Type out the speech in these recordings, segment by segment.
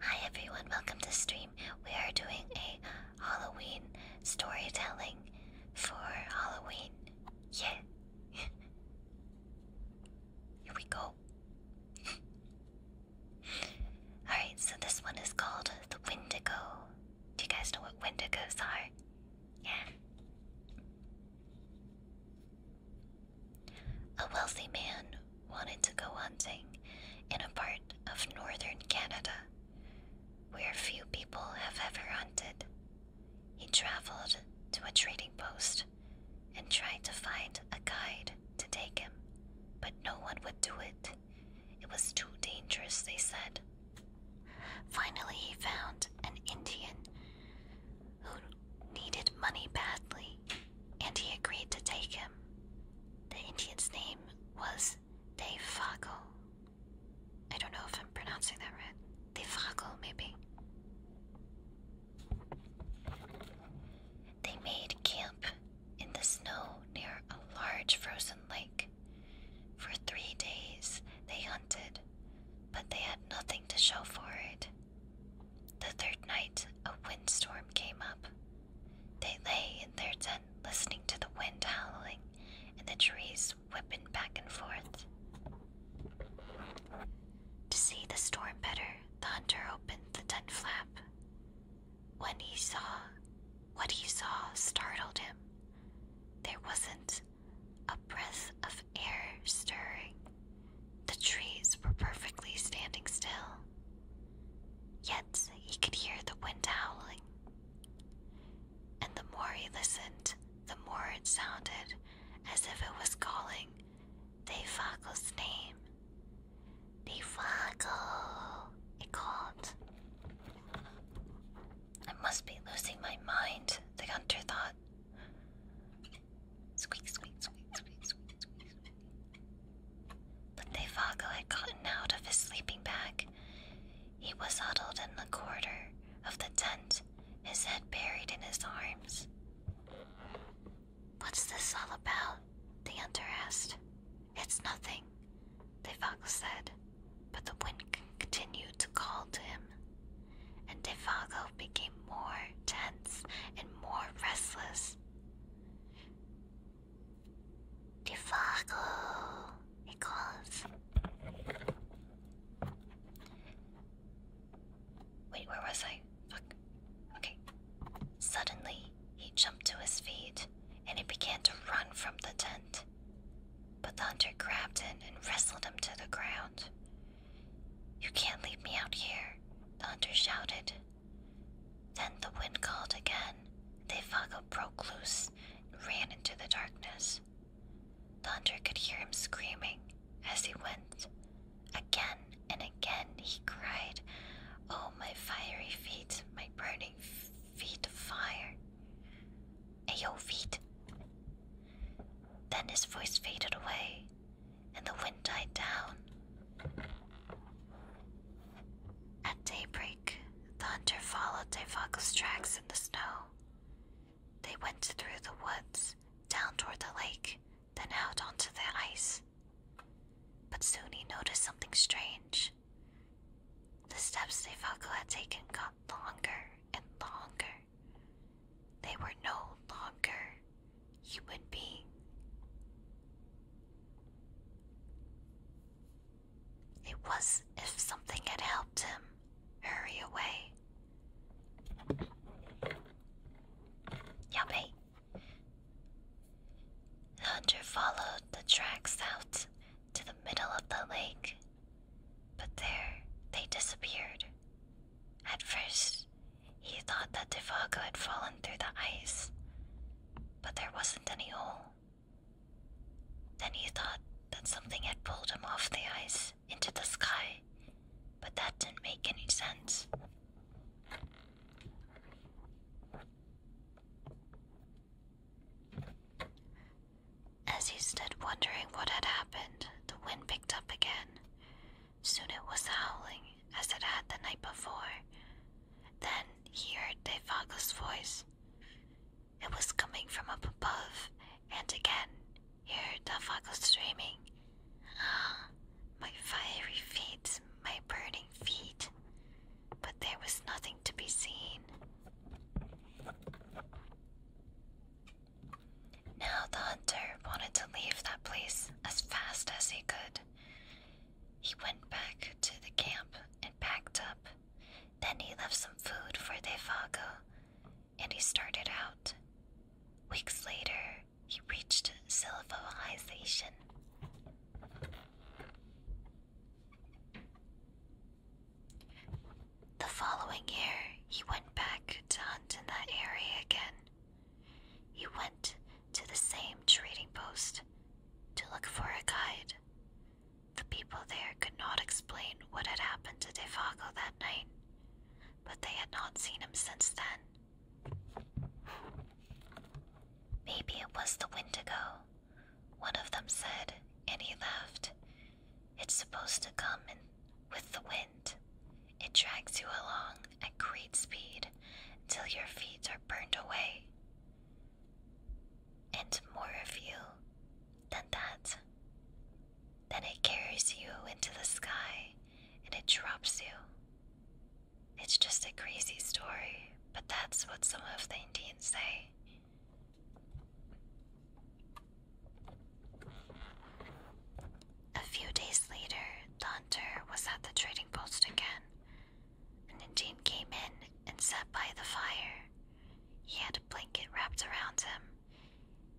Hi everyone, welcome to stream. We are doing a Halloween storytelling for Halloween. Yeah. Here we go. Alright, so this one is called The Wendigo. Do you guys know what Wendigos are? Yeah. A wealthy man wanted to go hunting in a part of northern Canada where few people have ever hunted. He traveled to a trading post and tried to find a guide to take him, but no one would do it. It was too dangerous, they said. Finally, he found an Indian who needed money badly, and he agreed to take him. The Indian's name was Devago. I don't know if I'm pronouncing that right. Devago, maybe. They made camp in the snow near a large frozen lake. For three days they hunted, but they had nothing to show for it. The third night, a windstorm came up, they lay in their den, listening to the wind howling and the trees whipping back and forth. To see the storm better, the hunter opened the tent flap. When he saw what he saw startled him. There wasn't a breath of air stirring. The trees were perfectly standing still, yet he could hear the wind howling. And the more he listened, the more it sounded as if it was calling Defago's name. Defago, it called. I must be losing my mind, the hunter thought. Squeak, squeak, squeak, squeak, squeak, squeak. But Nevago had gotten out of his sleeping bag. He was huddled in the corner of the tent, his head buried in his arms. What's this all about? The hunter asked. It's nothing, Devago said, but the wind continued to call to him, and Devago became more tense and more restless. The it calls. Wait, where was I? Okay. Suddenly, he jumped to his feet and he began to run from the tent. But the hunter grabbed him and wrestled him to the ground. You can't leave me out here, the hunter shouted. Then the wind called again. The Theyfago broke loose and ran into the darkness. The hunter could hear him screaming as he went. Again and again he cried, Oh, my fiery feet, my burning feet of fire. Ayo, feet. Then his voice faded away, and the wind died down. At daybreak, the hunter followed Tevaka's tracks in the snow. They went through the woods, down toward the lake, then out onto the ice. But soon he noticed something strange. The steps Tevaka had taken got longer and longer. They were no longer human being. It was if something had helped him hurry away. Yummy! The hunter followed the tracks out to the middle of the lake, but there they disappeared. At first, he thought that Divago had fallen through the ice, but there wasn't any hole. Then he thought that something had pulled him off the ice into the sky, but that didn't make any sense. As he stood wondering what had happened, the wind picked up again, Soon it was howling as it had the night before. Then he heard Devago's voice. It was coming from up above, and again he heard Devago screaming, Ah, my fiery feet, my burning feet. But there was nothing to be seen. Now the hunter wanted to leave that place as fast as he could. He went back to the camp and packed up. Then he left some food for Defago and he started out. Weeks later, he reached civilization. The following year, he went back to hunt in that area again. He went to the same trading post to look for a guide. The people there could not explain what had happened to Defago that night, but they had not seen him since then. Maybe it was the Wendigo, one of them said, and he laughed. It's supposed to come in with the wind. It drags you along at great speed till your feet are burned away. And more of you than that. Then it carries you into the sky and it drops you. It's just a crazy story, but that's what some of the Indians say. A few days later, the hunter was at the trading post again. An Indian came in and sat by the fire. He had a blanket wrapped around him.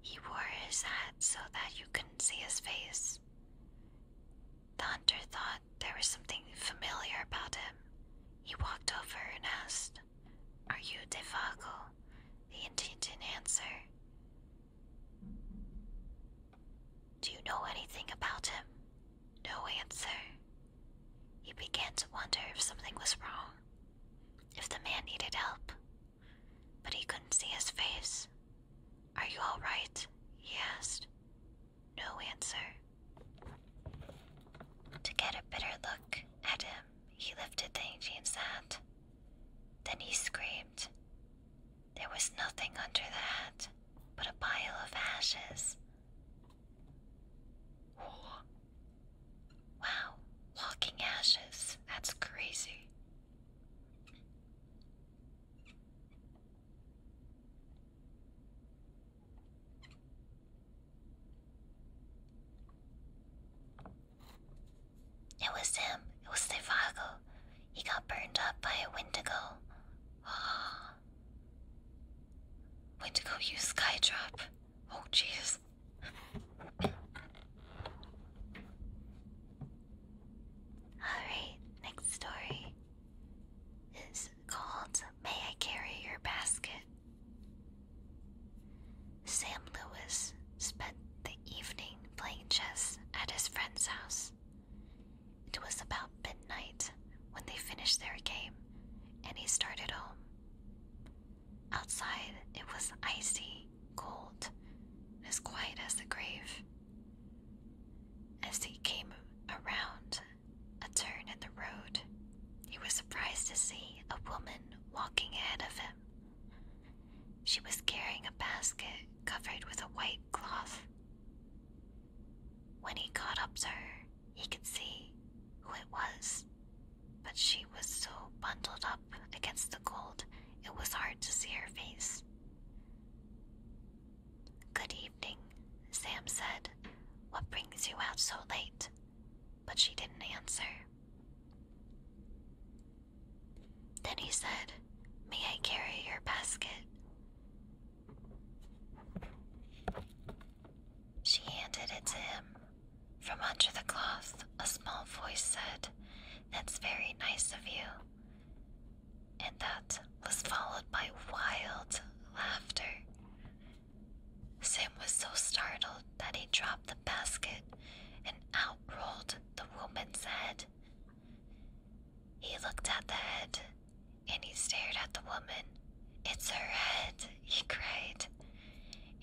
He wore his hat so that you couldn't see his face. The hunter thought there was something familiar about him. He walked over and asked, Are you Devago? The Indian didn't answer. Do you know anything about him? No answer. He began to wonder if something was wrong, if the man needed help, but he couldn't see his face. Are you all right? he asked. No answer. To get a better look at him, he lifted the Angian's hat. Then he screamed, there was nothing under the hat, but a pile of ashes. Wow, walking ashes. That's crazy. It was him. It was Sevago. He got burned up by a Windigo. Ah. Wendigo used Skydrop. Oh, jeez. Alright, next story is called May I Carry Your Basket? Sam Lewis spent the evening playing chess at his friend's house. It was about midnight when they finished their game, and he started home. Outside, it was icy, cold, as quiet as the grave. As he came around a turn in the road, he was surprised to see a woman walking ahead of him. She was carrying a basket covered with a white cloth. When he got up to her, he could see who it was, but she was so bundled up against the cold it was hard to see her face. Good evening, Sam said. What brings you out so late? But she didn't answer. Then he said, May I carry your basket? She handed it to him. From under the cloth, a small voice said, That's very nice of you. And that was followed by wild laughter. Sim was so startled that he dropped the basket and out rolled the woman's head. He looked at the head, and he stared at the woman. It's her head, he cried,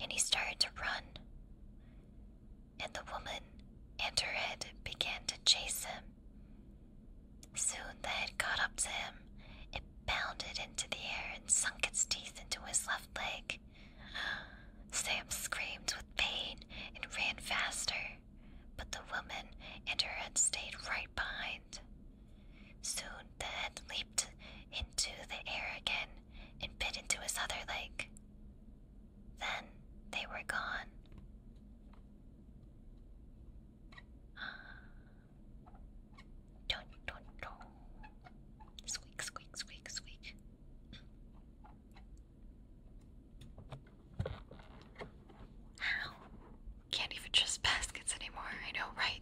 and he started to run. And the woman and her head began to chase him. Soon the head caught up to him. It bounded into the air and sunk its teeth into his left leg. Sam screamed with pain and ran faster, but the woman and her head stayed right behind. Soon the head leaped into the air again and bit into his other leg. Then they were gone. Dun, dun, dun. Squeak, squeak, squeak, squeak. Can't even trust baskets anymore, I know, right?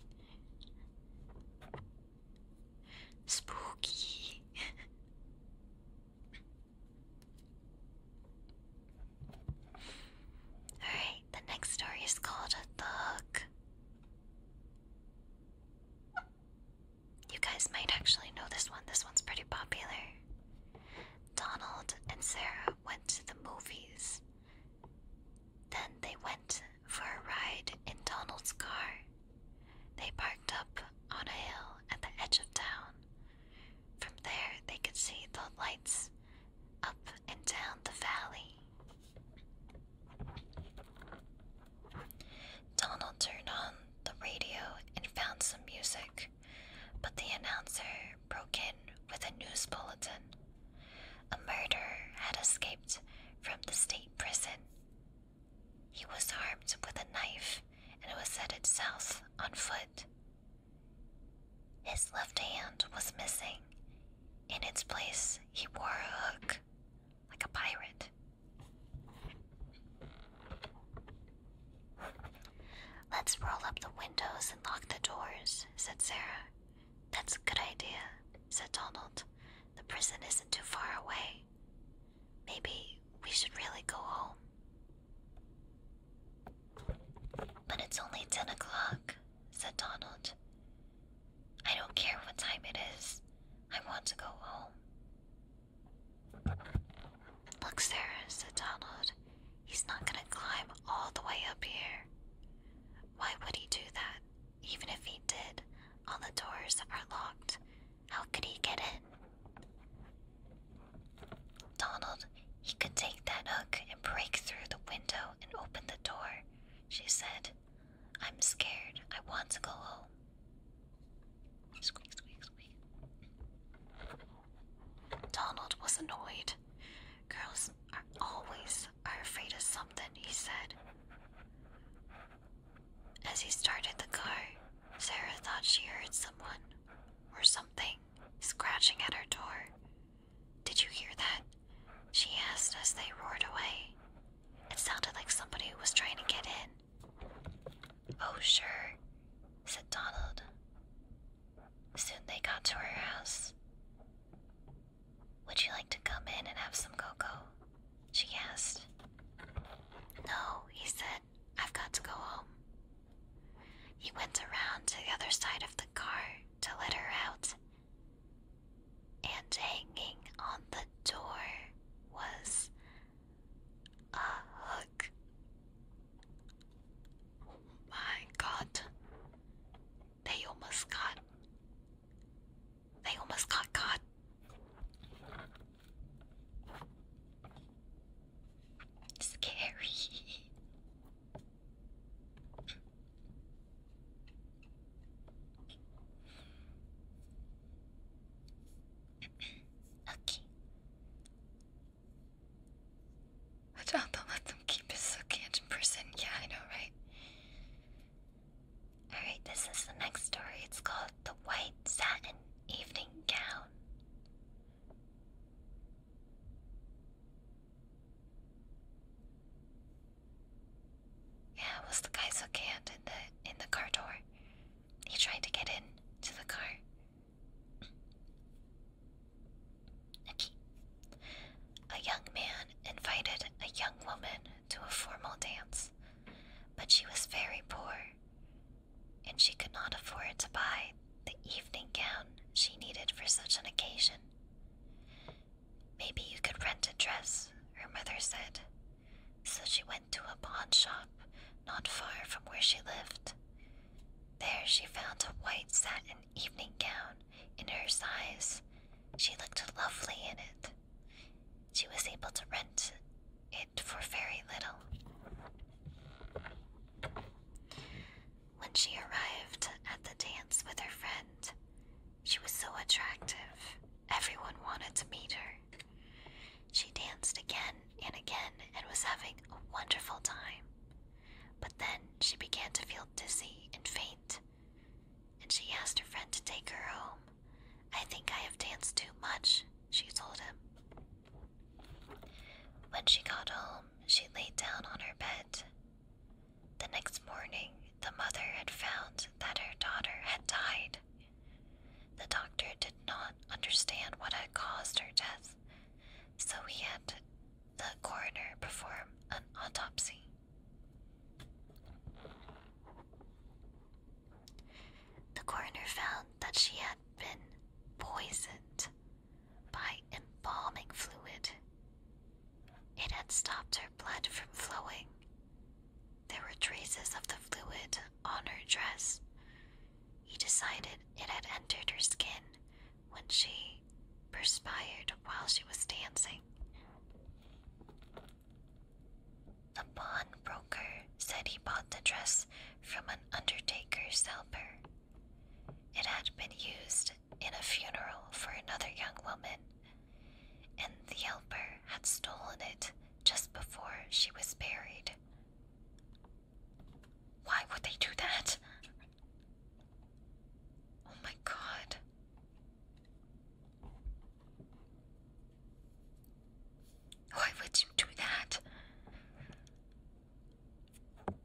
Spooky. Alright, the next story is called A Thug. You guys might actually know this one. This one's pretty popular. Donald and Sarah went to the movies. Then they went for a ride in Donald's car. They parked up on a hill at the edge of town. From there, they could see the lights up and down the valley. Donald turned on the radio and found some music, but the announcer broke in with a news bulletin. A murderer had escaped from the state prison. He was armed with a knife and was headed south on foot. His left hand was missing. In its place, he wore a hook, like a pirate. Let's roll up the windows and lock the doors, said Sarah. That's a good idea, said Donald. The prison isn't too far away. Maybe we should really go home. But it's only ten o'clock, said Donald. I don't care what time it is. I want to go home. Look, Sarah, said Donald. He's not going to climb all the way up here. Why would he do that? Even if he did, all the doors are locked. How could he get in? Donald, he could take that hook and break through the window and open the door, she said. I'm scared. I want to go home. Donald was annoyed. Girls are always are afraid of something, he said. As he started the car, Sarah thought she heard someone or something scratching at her door. Did you hear that? She asked as they roared away. It sounded like somebody was trying to get in. Oh, sure, said Donald. Soon they got to her house. Would you like to come in and have some cocoa? She asked. No, he said, I've got to go home. He went around to the other side of the car to let her out, and hanging on the door was a hook. my god. They almost got. They almost got caught. Scary okay. Watch out, don't let them keep his Sukianch in prison. Yeah, I know, right? Alright, this is the next story. It's called The White Satin Evening Gown. Yeah, was the guy Sukiant in the in the car door. He tried to get in to the car. A young man invited a young woman to a formal dance, but she was very poor, and she could not afford to buy the evening gown she needed for such an occasion. Maybe you could rent a dress, her mother said, so she went to a pawn shop not far from where she lived. There she found a white satin evening gown in her size. She looked lovely in it. She was able to rent it for very little. When she arrived at the dance with her friend, she was so attractive Everyone wanted to meet her. She danced again and again and was having a wonderful time. But then she began to feel dizzy and faint, and she asked her friend to take her home. I think I have danced too much, she told him. When she got home, she lay down on her bed. The next morning, the mother had found that her daughter had died the doctor did not understand what had caused her death, so he had the coroner perform an autopsy. The coroner found that she had been poisoned by embalming fluid. It had stopped her blood from flowing, there were traces of the fluid on her dress. He decided it had entered her skin when she perspired while she was dancing. The pawnbroker said he bought the dress from an undertaker's helper. It had been used in a funeral for another young woman, and the helper had stolen it just before she was buried. Why would they do that? Oh my god. Why would you do that?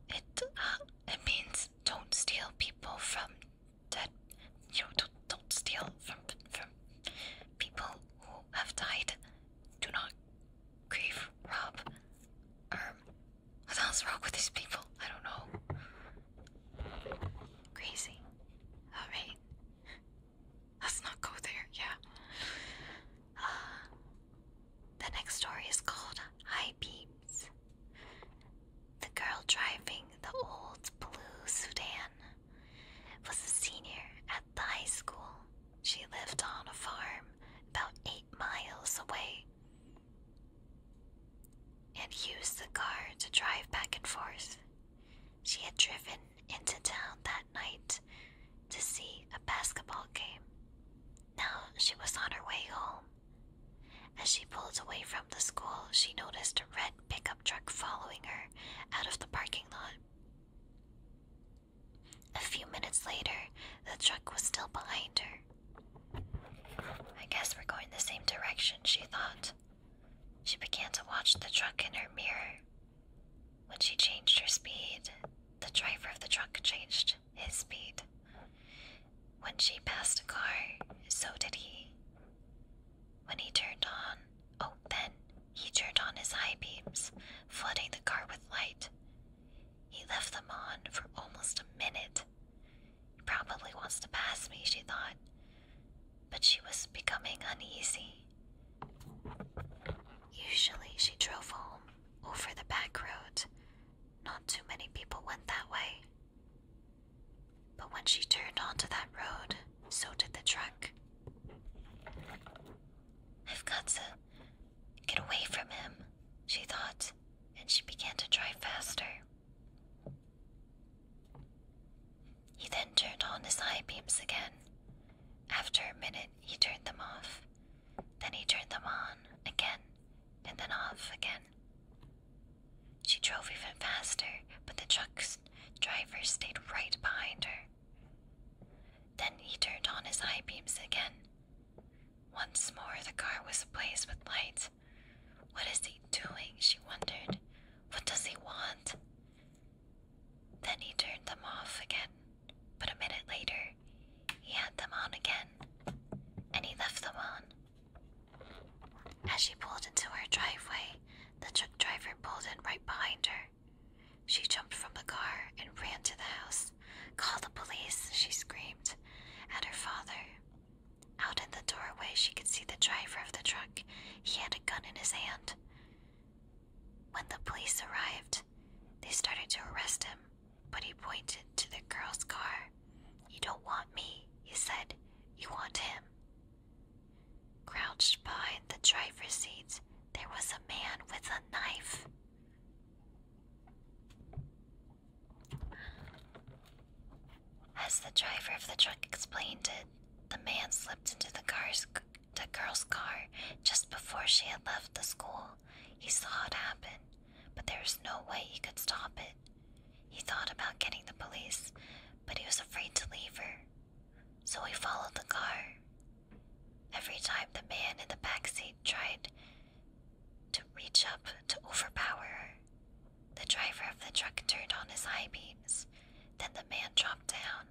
It uh, it means don't steal people from dead. You know, don't, don't steal from from People who have died do not grieve, Rob. Um, what else wrong with these people? I don't know. Crazy. Alright. Let's not go there, yeah. Uh, the next story is called High Beams. The girl driving the old blue Sudan was a senior at the high school. She lived on a farm about eight miles away and used the car to drive back and forth. She had driven into town that night to see a basketball game. Now she was on her way home. As she pulled away from the school, she noticed a red pickup truck following her out of the parking lot. A few minutes later, the truck was still behind her. I guess we're going the same direction, she thought. She began to watch the truck in her mirror. When she changed her speed, the driver of the truck changed his speed. When she passed a car, so did he. When he turned on, open! Oh, he turned on his high beams, flooding the car with light. He left them on for almost a minute. He probably wants to pass me, she thought. But she was becoming uneasy. Usually she drove home over the back road. Not too many people went that way. But when she turned onto that road, so did the truck. I've got to get away from him, she thought, and she began to drive faster. He then turned on his eye beams again. After a minute, he turned them off. Then he turned them on again, and then off again. She drove even faster, but the truck driver stayed right behind her. Then he turned on his high beams again. Once more, the car was ablaze with lights. What is he doing? She wondered. What does he want? Then he turned them off again, but a minute later, he had them on again, and he left them on. As she pulled into her driveway, the truck driver pulled in right behind her. She jumped from the car and ran to the house. Call the police, she screamed at her father. Out in the doorway, she could see the driver of the truck. He had a gun in his hand. When the police arrived, they started to arrest him, but he pointed to the girl's car. You don't want me, he said. You want him. Crouched behind the driver's seat, there was a man with a knife. As the driver of the truck explained it, the man slipped into the, girl's car just before she had left the school. He saw it happen, but there was no way he could stop it. He thought about getting the police, but he was afraid to leave her. So he followed the car. Every time the man in the back seat tried to reach up to overpower her, the driver of the truck turned on his high beams. Then the man dropped down,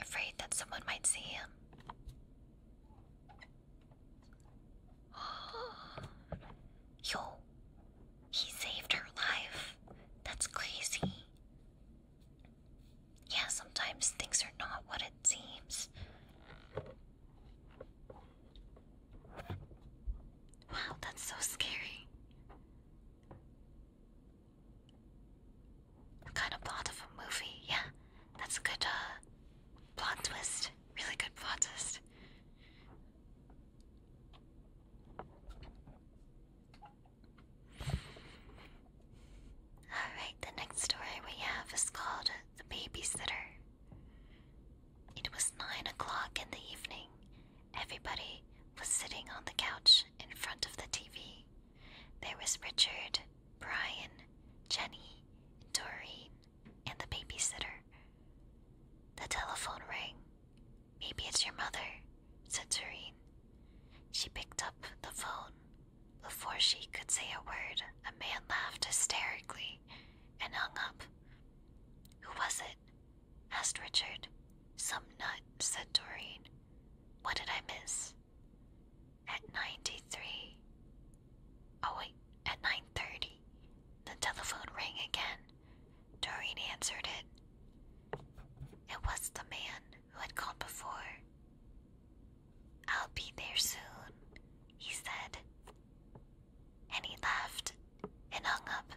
afraid that someone might see him. Yo, he saved her life. That's crazy. Yeah, sometimes things are not what it seems. Wow, that's so scary. Kind of plot of a movie, yeah. That's a good uh, plot twist. Really good plot twist. Alright, the next story we have is called The Babysitter. It was nine o'clock in the evening. Everybody was sitting on the couch in front of the TV. There was Richard, Brian, Jenny, Doreen, and the babysitter. The telephone rang. Maybe it's your mother, said Doreen. She picked up the phone. Before she could say a word, a man laughed hysterically and hung up. Who was it? asked Richard. Some nut, said Doreen. What did I miss? At 93. Oh, wait, at 9.30, the telephone rang again. Doreen answered it. It was the man who had called before. I'll be there soon, he said. And he laughed and hung up.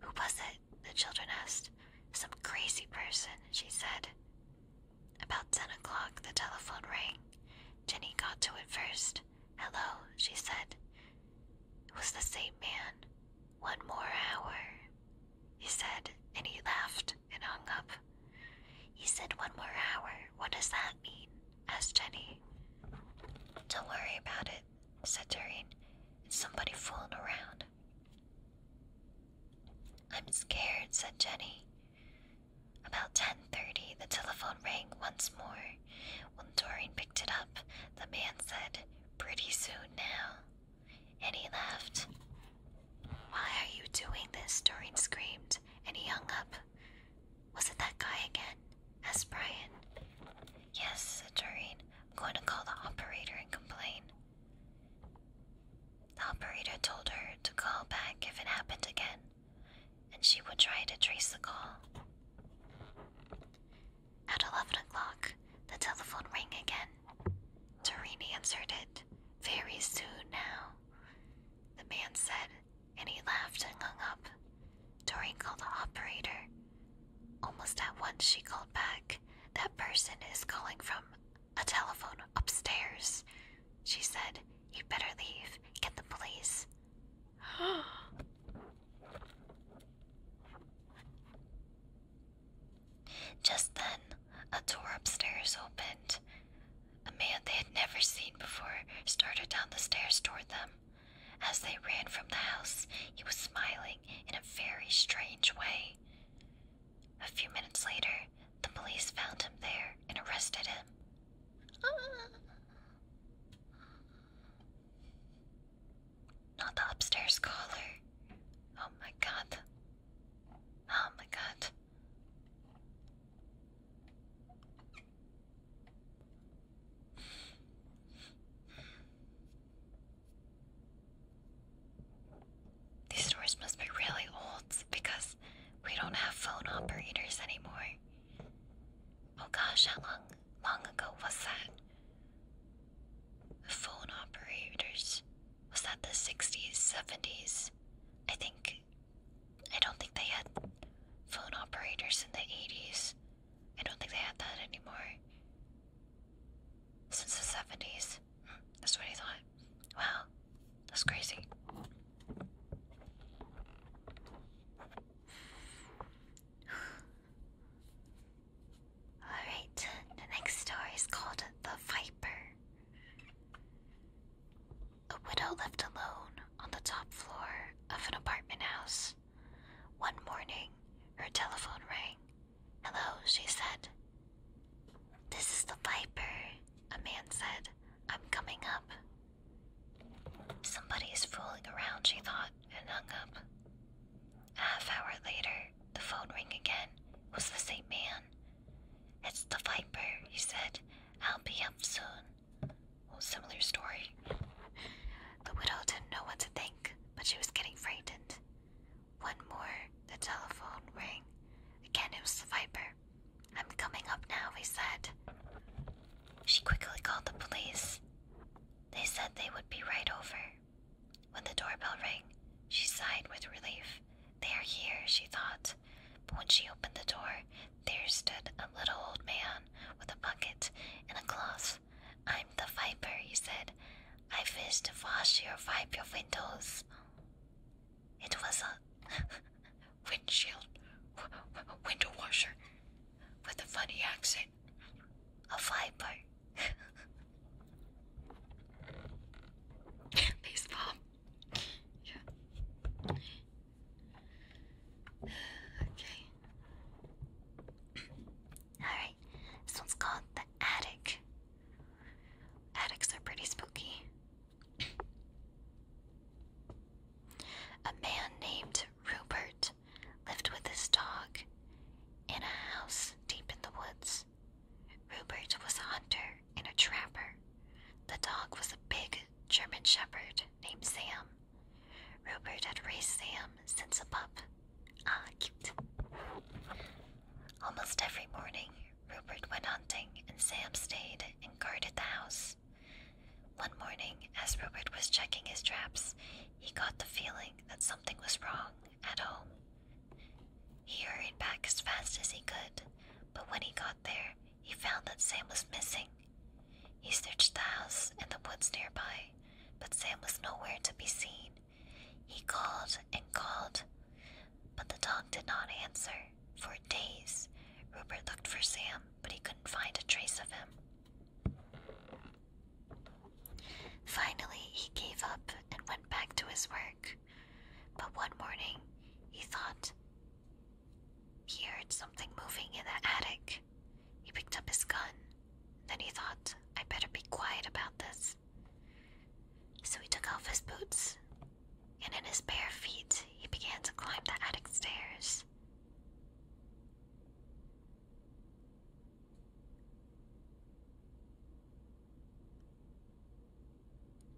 Who was it? The children asked. Some crazy person, she said. About ten o'clock, the telephone rang. Jenny got to it first. Hello, she said. It was the same man one more hour, he said, and he laughed and hung up. He said, One more hour. What does that mean? asked Jenny. Don't worry about it, said Doreen. It's somebody fooling around. I'm scared, said Jenny. About 10.30, the telephone rang once more. When Doreen picked it up, the man said, Pretty soon now and he laughed. Why are you doing this? Doreen screamed, and he hung up. Was it that guy again? asked Brian. Yes, said Doreen. I'm going to call the operator and complain. The operator told her to call back if it happened again, and she would try to trace the call. At eleven o'clock, the telephone rang again. Torini answered it. Very soon now, the man said, and he laughed and hung up. Torini called the operator. Almost at once, she called back. That person is calling from a telephone upstairs. She said, You'd better leave. Get the police. Just then, a door upstairs opened. A man they had never seen before started down the stairs toward them. As they ran from the house, he was smiling in a very strange way. A few minutes later, the police found him there and arrested him. Ah. Not the upstairs caller. Oh my god. Oh my god. These doors must be really old because we don't have phone operators anymore. Oh gosh, how long long ago was that? Phone operators. Was that the 60s, 70s? I think. I don't think they had phone operators in the 80s. I don't think they had that anymore. Since the 70s. Hmm, that's what I thought. Wow, that's crazy. Alright, the next story is called The Viper. A widow lived alone on the top floor of an apartment house. One morning, her telephone rang. Hello, she said. This is the Viper, a man said. I'm coming up. Somebody's fooling around, she thought, and hung up. Half hour later, the phone rang again. It was the same man. It's the Viper, he said. I'll be up soon. Well, similar story. The widow didn't know what to think, but she was getting frightened. One more, the telephone rang. Again, it was the Viper. I'm coming up now, he said. She quickly called the police. They said they would be right over. When the doorbell rang, she sighed with relief. They are here, she thought. But when she opened the door, there stood a little old man with a bucket and a cloth. I'm the viper, he said. I wish to wash your wipe your windows. It was a windshield window washer with a funny accent a viper. Face palm. Yeah. Okay. Alright. This one's called the attic. Attics are pretty spooky. A man named Rupert lived with his dog in a house deep in the woods. Rupert was a hunter and a trapper. The dog was a big German shepherd named Sam. Rupert had raised Sam since a pup. Ah, cute. Almost every morning, Rupert went hunting and Sam stayed and guarded the house. One morning, as Rupert was checking his traps, he got the feeling that something was wrong at home. He hurried back as fast as he could, but when he got there, he found that Sam was missing. He searched the house and the woods nearby, but Sam was nowhere to be seen. He called and called, but the dog did not answer. For days, Rupert looked for Sam, but he couldn't find a trace of him. Finally, he gave up and went back to his work. But one morning, he thought he heard something moving in the attic. He picked up his gun. Then he thought, I better be quiet about this. So he took off his boots, and in his bare feet, he began to climb the attic stairs.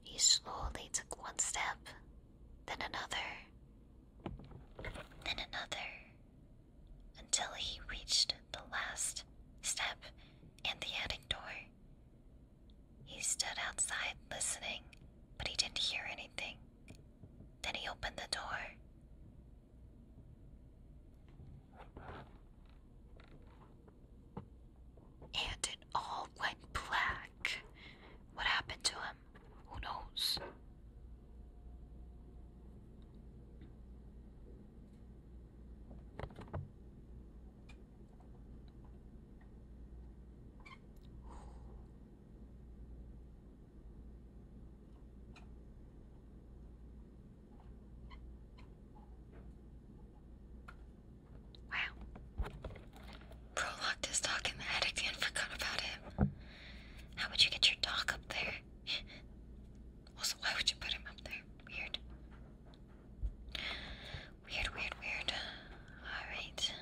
He slowly took one step, then another, then another, until he reached the last step in the attic door. He stood outside listening, but he didn't hear anything. Then he opened the door. And it all went black. What happened to him? Who knows? Wow. Bro locked his dog in the attic and forgot about him. How would you get your dog up there? also, why would you put him up there? Weird. Weird, weird, weird. Alright.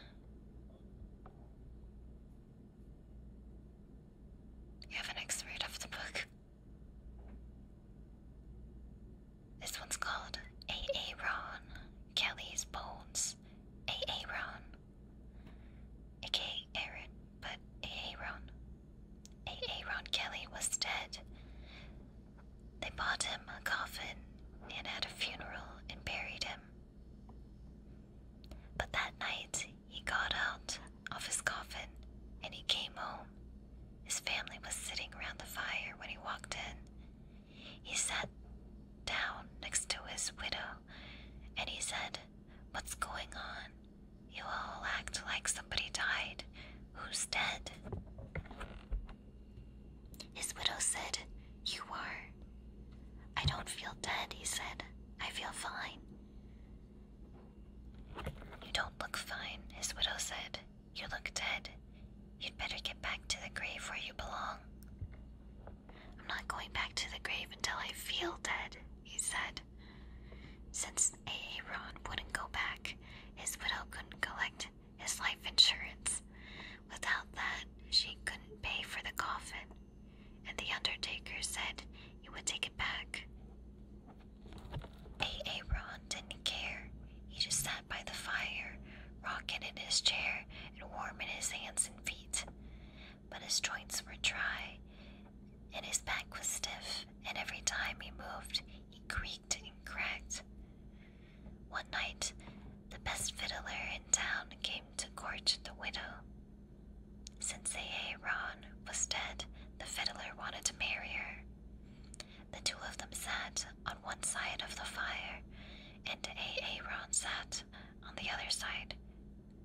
You have an x of the book. This one's called A.A. Ron, Kelly's Bones. A.A. Ron. A.K. Aaron, but A.A. Ron. A.A. Ron Kelly was dead. They bought him a coffin and had a funeral and buried him. But that night, he got out of his coffin and he came home. His family was sitting around the fire when he walked in. He sat down next to his widow and he said, What's going on? You all act like somebody died. Who's dead? His widow said, You are. I don't feel dead, he said. I feel fine. You don't look fine, his widow said. You look dead. You'd better get back to the grave where you belong. I'm not going back to the grave until I feel dead, he said. Since Aaron wouldn't go back, his widow couldn't collect his life insurance. Without that, she couldn't pay for the coffin and the undertaker said he would take it back. A.A. Ron didn't care. He just sat by the fire, rocking in his chair and warm in his hands and feet. But his joints were dry, and his back was stiff, and every time he moved, he creaked and cracked. One night, the best fiddler in town came to court the widow. Since Saye Ron was dead, the fiddler wanted to marry her. The two of them sat on one side of the fire, and Aaron sat on the other side,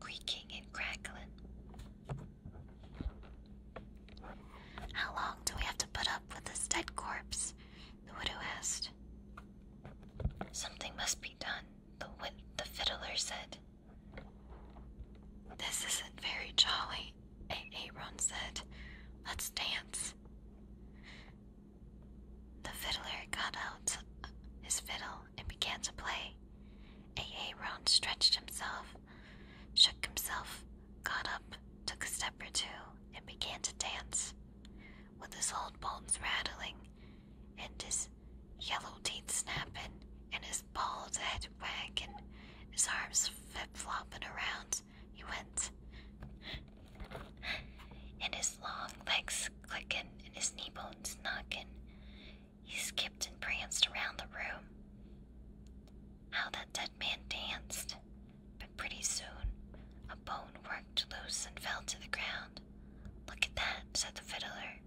creaking and crackling. How long do we have to put up with this dead corpse? The widow asked. Something must be done, the, the fiddler said. This isn't very jolly, Aaron said. Let's dance. The fiddler got out his fiddle and began to play. Aaron stretched himself, shook himself, got up, took a step or two, and began to dance. With his old bones rattling, and his yellow teeth snapping, and his bald head wagging, his arms flip flopping around, he went, and his long legs clicking, and his knee bones knocking. He skipped and pranced around the room. How that dead man danced! But pretty soon, a bone worked loose and fell to the ground. Look at that, said the fiddler.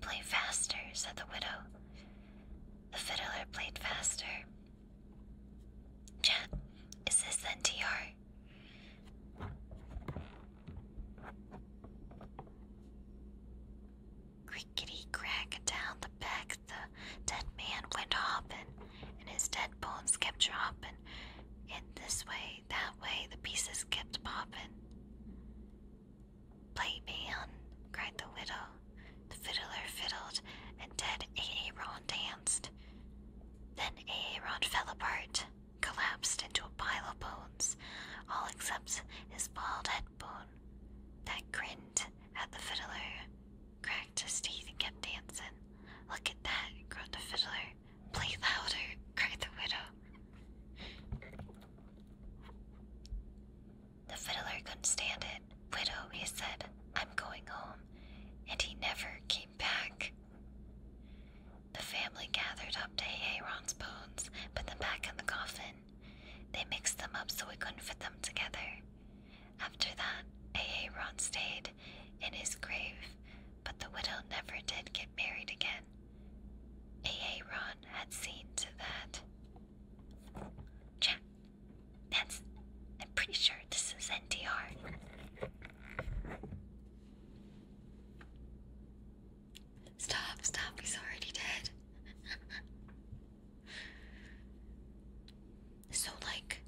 Play faster, said the widow. The fiddler played faster. Chat, is this then TR? crack down the back, the dead man went hoppin', and his dead bones kept droppin', and this way, that way, the pieces kept poppin'. Play man, cried the widow. The fiddler fiddled, and dead Aaron danced. Then Aaron fell apart, collapsed into a pile of bones, all except his bald head bone, that grinned at the fiddler, cracked his teeth, and kept dancing. Look at that, groaned the fiddler. Play louder, cried the widow. The fiddler couldn't stand it. Widow, he said, I'm going home, and he never came back. The family gathered up to Aaron's bones, put them back in the coffin. They mixed them up so we couldn't fit them together. After that, Aaron stayed in his grave, but the widow never did get married again. Aaron had seen to that. Jack, that's. I'm pretty sure this is NDR. Stop, stop, he's already dead. so, like,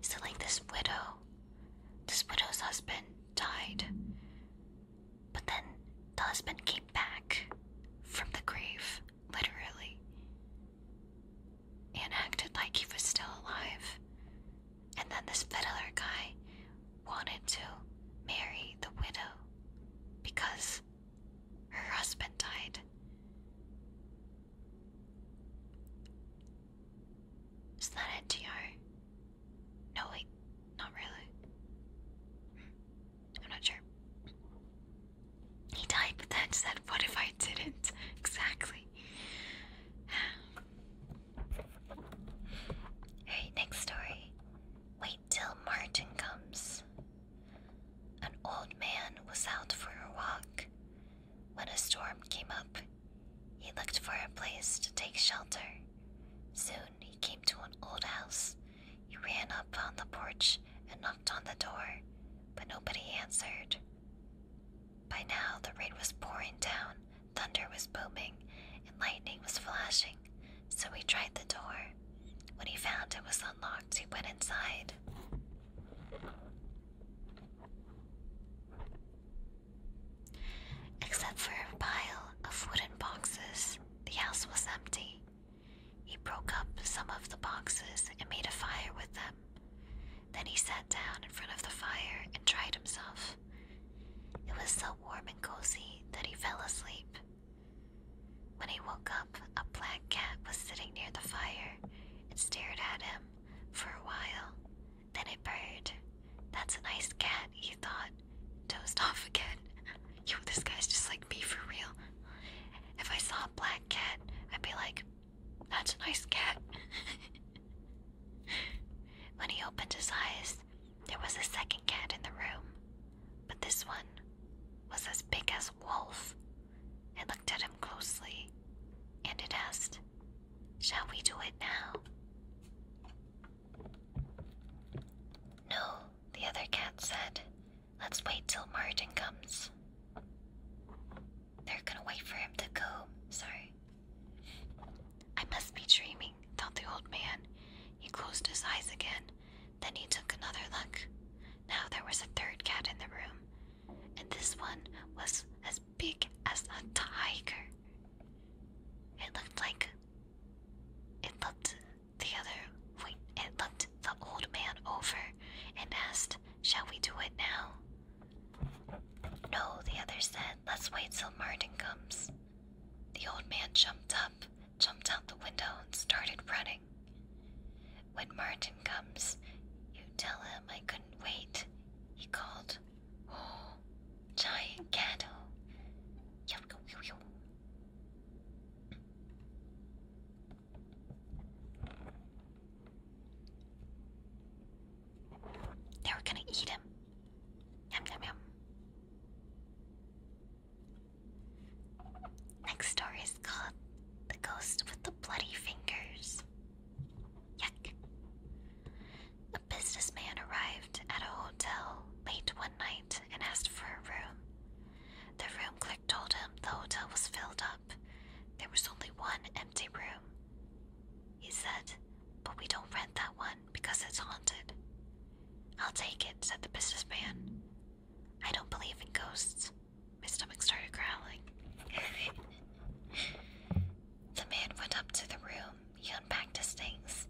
so, like, this widow, this widow's husband died, but then the husband came back from the grave, literally, and acted like he was still alive. And then this fiddler guy wanted to marry the widow because her husband died. Is that it, Gio? No, wait, not really. Hmm, I'm not sure. He died, but then said, What if I didn't? Exactly. Alright, next story. Wait till Martin comes. An old man was out for a walk when a storm came up, he looked for a place to take shelter. Soon he came to an old house. He ran up on the porch and knocked on the door, but nobody answered. By now the rain was pouring down, thunder was booming, and lightning was flashing, so he tried the door. When he found it was unlocked, he went inside. Except for a pile of wooden boxes, the house was empty. He broke up some of the boxes and made a fire with them. Then he sat down in front of the fire and dried himself. It was so warm and cozy that he fell asleep. When he woke up, a black cat was sitting near the fire and stared at him for a while. Then a bird. That's a nice cat, he thought. Dozed off again. Yo, this guy's just like me for real. If I saw a black cat, I'd be like, that's a nice cat. when he opened his eyes, there was a second cat in the room, but this one was as big as a wolf. It looked at him closely, and it asked, Shall we do it now? No, the other cat said. Let's wait till Martin comes. They're gonna wait for him to go. Sorry. I must be dreaming, thought the old man. He closed his eyes again. Then he took another look. Now there was a third cat in the room, and this one was as big as a tiger. It looked like it looked the other way. It looked the old man over and asked, Shall we do it now? No, the other said, Let's wait till Martin comes. The old man jumped up, jumped out the window, and started running. When Martin comes, you tell him I couldn't wait, he called. Oh, giant candle! Yo, yo, yo, They were gonna eat him. Yum, yum, yum. Next story is called The Ghost with the Bloody Fingers. Yuck. A businessman arrived at a hotel late one night and asked for a room. The room clerk told him the hotel was filled up. There was only one empty room. He said, But we don't rent that one because it's haunted. I'll take it, said the businessman. I don't believe in ghosts. My stomach started growling. The man went up to the room, he unpacked his things,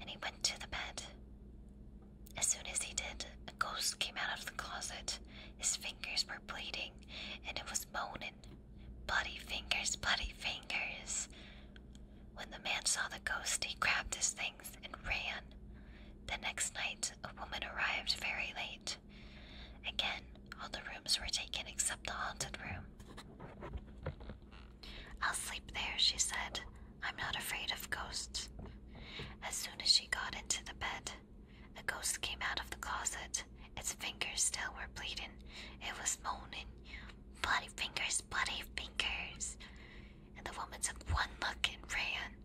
and he went to the bed. As soon as he did, a ghost came out of the closet. His fingers were bleeding, and it was moaning, Bloody fingers, bloody fingers. When the man saw the ghost, he grabbed his things and ran. The next night, a woman arrived very late. Again, all the rooms were taken except the haunted room. I'll sleep there, she said. I'm not afraid of ghosts. As soon as she got into the bed, a ghost came out of the closet. Its fingers still were bleeding. It was moaning, Bloody fingers, bloody fingers. And the woman took one look and ran.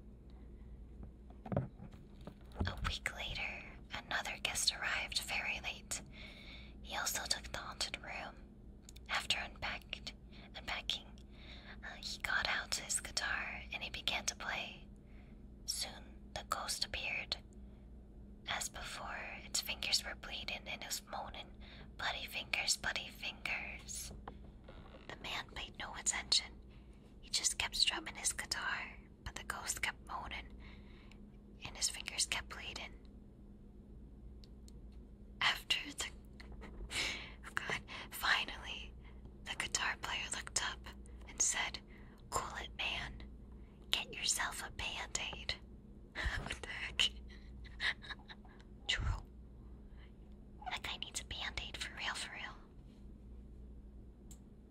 A week later, another guest arrived very late. He also took the haunted room. After unpacked, unpacking, uh, he got out his guitar and he began to play. Soon, the ghost appeared. As before, its fingers were bleeding and it was moaning, Bloody fingers, bloody fingers. The man paid no attention he just kept strumming his guitar, but the ghost kept moaning, and his fingers kept bleeding. After the. Oh God, finally, the guitar player looked up and said, Cool it, man. Get yourself a band what the heck? True. That guy needs a band for real, for real.